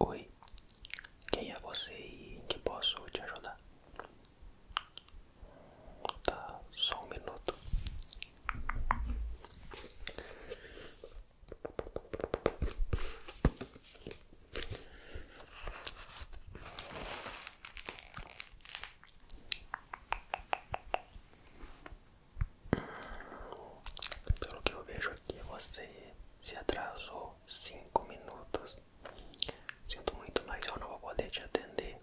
Oi, quem é você e em que posso te ajudar? Tá, só um minuto. Pelo que eu vejo aqui, você se atrasou 5 minutos. Sinto muito, mas eu não vou poder te atender.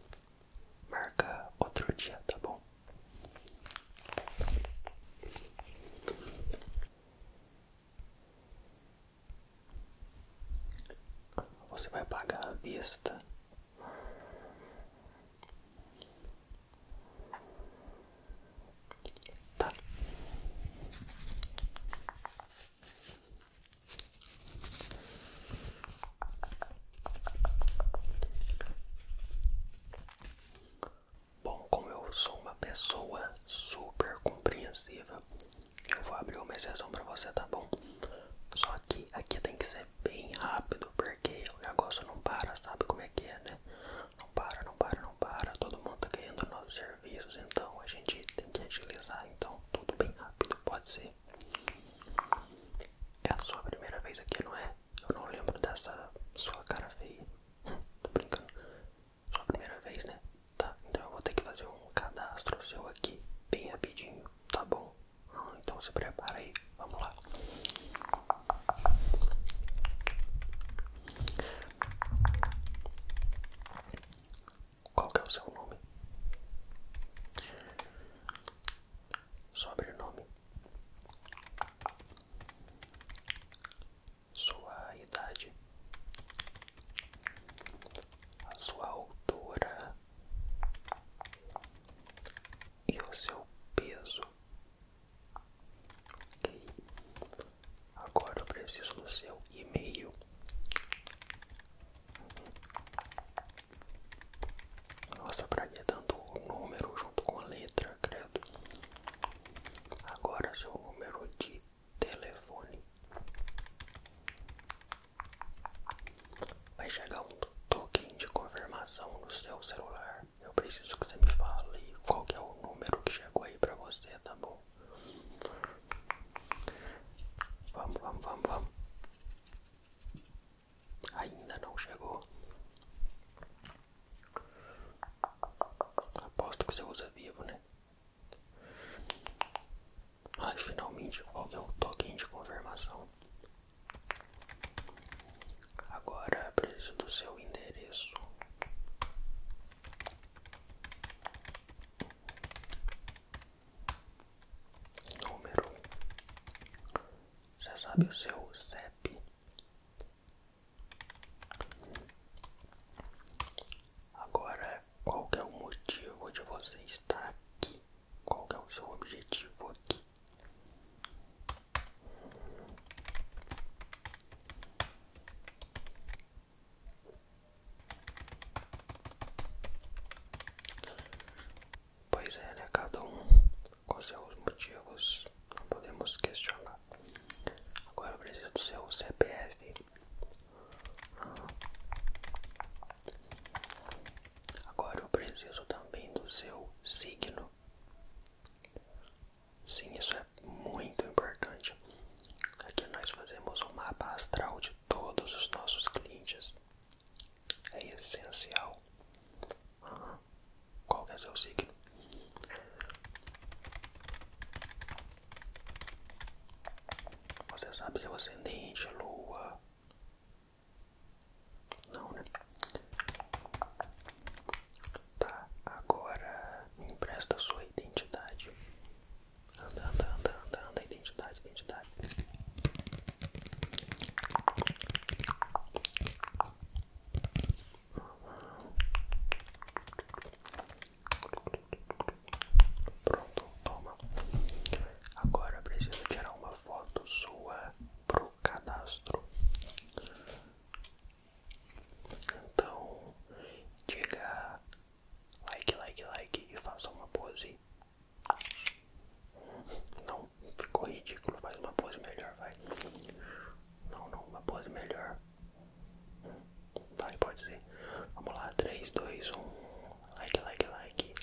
Marca outro dia, tá bom? Você vai pagar à vista. Tá. Bom, como eu sou uma pessoa super compreensiva, eu vou abrir uma exceção pra você, tá bom? Só que aqui tem que ser bem rápido, porque o negócio não para, sabe como é que é, né? Não para, não para, não para. Todo mundo tá ganhando novos serviços, então a gente tem que agilizar. Então, tudo bem rápido, pode ser. É a sua primeira vez aqui, não é? Eu não lembro dessa sua cara feia. Hum, tô brincando sua primeira vez, né? Tá, então eu vou ter que fazer um cadastro seu aqui, bem rapidinho, tá bom? Então se prepara aí, vamos lá. Qual é o seu nome? Sobrenome. Sua idade a sua altura e o seu peso. Ok. Agora eu preciso do seu e-mail. Nossa, pra que tanto número junto com a letra, credo? Agora seu número de telefone. Vai chegar um token de confirmação no seu celular. Eu preciso que você me fale qual é o número que chegou aí pra você, tá bom? Vamos, vamos, vamos, vamos. Ainda não chegou. Aposto que você usa vivo, né? Ai, finalmente, qual é o token de confirmação? Agora preciso do seu endereço. Número. Você sabe o seu Sep? Agora, qual que é o motivo de você estar aqui? Qual que é o seu objetivo aqui? Pois é, né? Cada um com os motivos, não podemos questionar. Agora eu preciso do seu CPF. Agora eu preciso também do seu signo. Sim, isso é muito importante. Aqui nós fazemos um mapa astral de todos os nossos clientes. É essencial. Uhum. Qual que é seu signo? Você sabe seu ascendente, lua? Não, né? Tá, agora me empresta sua identidade. Anda, anda, anda, anda, anda, identidade, identidade. Pronto, toma. Agora preciso tirar uma foto sua pro cadastro. Então, diga like, like, like e faça uma pose. Não, ficou ridículo, faz uma pose melhor, vai. Não, não, uma pose melhor. Vai, pode ser. Vamos lá, 3, 2, 1. Like, like, like.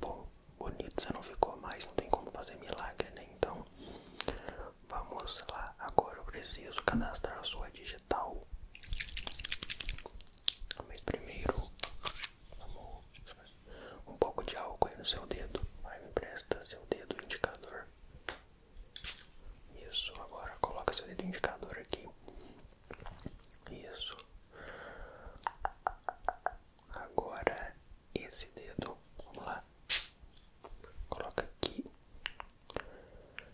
Bom, bonito você não ficou mais, não tem como fazer milagre, né? Então, vamos lá. Agora eu preciso cadastrar a sua digital. Mas primeiro, vamos um pouco de álcool no seu dedo. Vai, me empresta seu dedo indicador. Isso, agora coloca seu dedo indicador aqui. Isso. Agora esse dedo, vamos lá. Coloca aqui.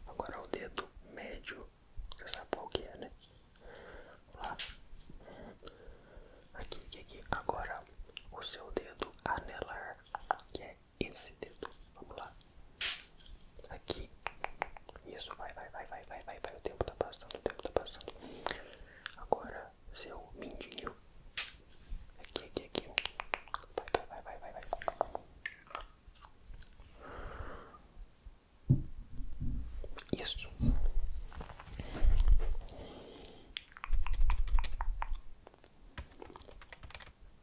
Agora o dedo médio você sabe qual que é, né? Lá. Aqui, aqui, aqui. Agora, o seu dedo anelar, que é esse dedo. Vamos lá. Aqui. Isso, vai, vai, vai, vai, vai, vai, vai. O tempo tá passando, o tempo tá passando. Agora, seu mindinho. Aqui, aqui, aqui. Vai, vai, vai, vai, vai, vai. Isso.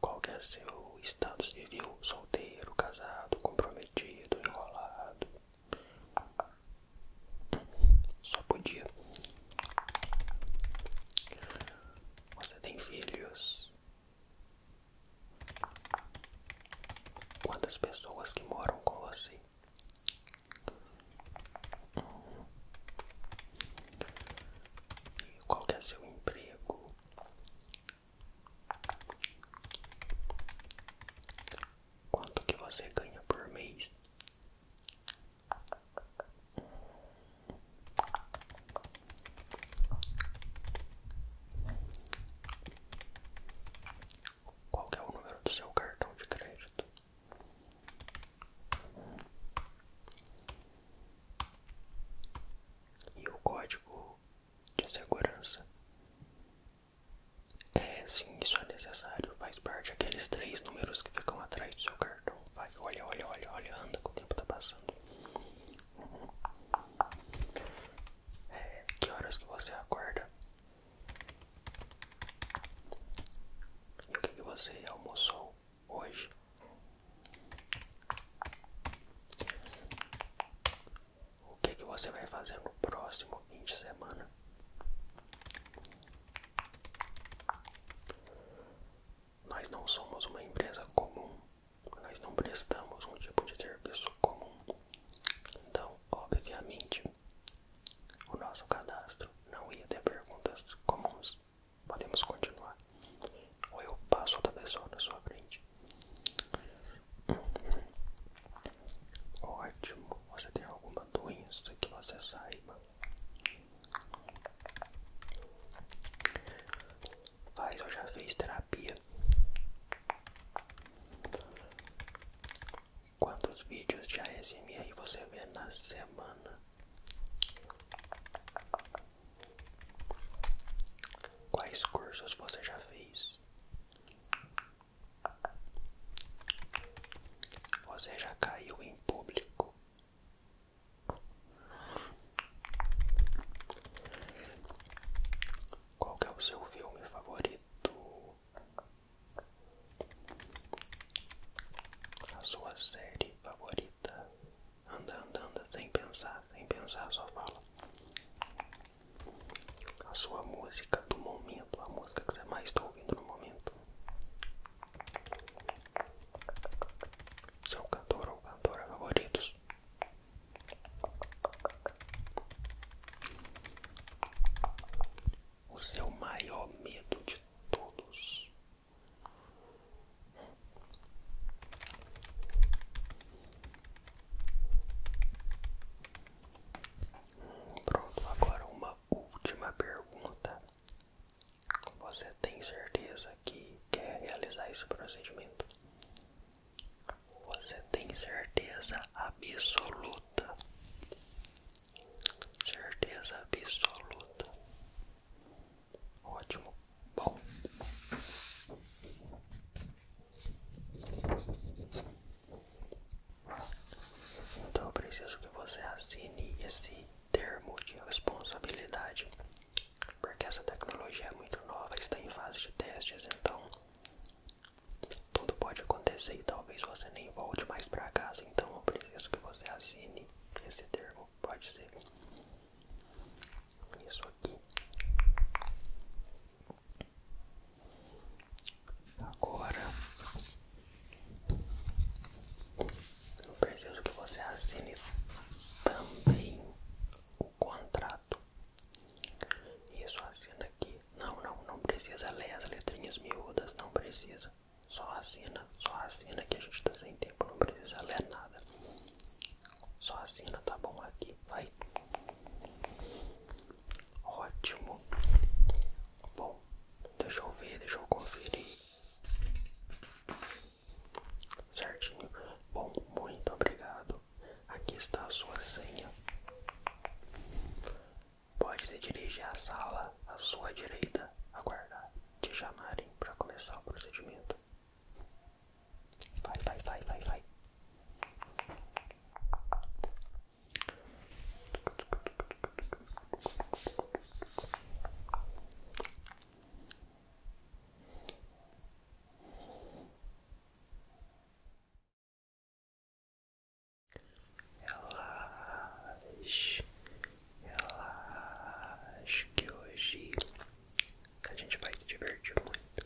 Qual que é seu estado civil? Solteiro, casado, comprometido, enrolado? Só podia. Você tem filhos? Quantas pessoas que moram com você? qual é seu emprego? Quanto que você ganha por mês? Qual é o número do seu cartão de crédito? E o código de segurança? É, sim, isso é necessário. Faz parte aqueles três números que ficam atrás do seu cartão. Vai, olha, olha, olha, olha, anda que o tempo tá passando. É, que horas que você acorda? o que, que você almoçou hoje? O que, que você vai fazer no próximo fim de semana? Nós não somos uma empresa comum nós não prestamos um tipo de serviço comum. Então, obviamente, o nosso cadastro não ia ter perguntas comuns. Podemos continuar. Ou eu passo outra pessoa na sua frente. Uhum. Ótimo. Você tem alguma doença que você saiba? Mas eu já fiz terapia Quantos vídeos de ASMR você vê na semana? 'Quais cursos você já fez? Você já caiu em público? Qual é o seu filme favorito? A sua série favorita? Anda, anda, anda, sem pensar, sem pensar, só fala. A sua música do momento, a música que você mais está ouvindo no momento. Seu cantor ou cantora favoritos. O seu maior medo de todos. Pronto, agora uma última pergunta. Você tem certeza que quer realizar esse procedimento. Você tem certeza absoluta. Certeza absoluta. Ótimo. Bom. Então eu preciso que você assine esse termo de responsabilidade porque essa tecnologia é muito nova, está em fase de testes, então tudo pode acontecer e talvez você nem volte mais para casa, então eu preciso que você assine esse termo, pode ser isso aqui. Agora não preciso que você assine também o contrato. Isso, assina aqui. Não, não, não precisa ler as letrinhas miúdas, não precisa. Só assina, só assina que a gente tá sem tempo, não precisa ler nada. Só assina, tá bom? Aqui, vai. Ótimo. Bom, deixa eu ver, deixa eu conferir. Certinho. Bom, muito obrigado. Aqui está a sua senha. Pode se dirigir à sala à sua direita, aguardar te chamarem para começar o procedimento. Vai, vai, vai, vai, vai. Relaxe, relaxe que hoje a gente vai se divertir muito.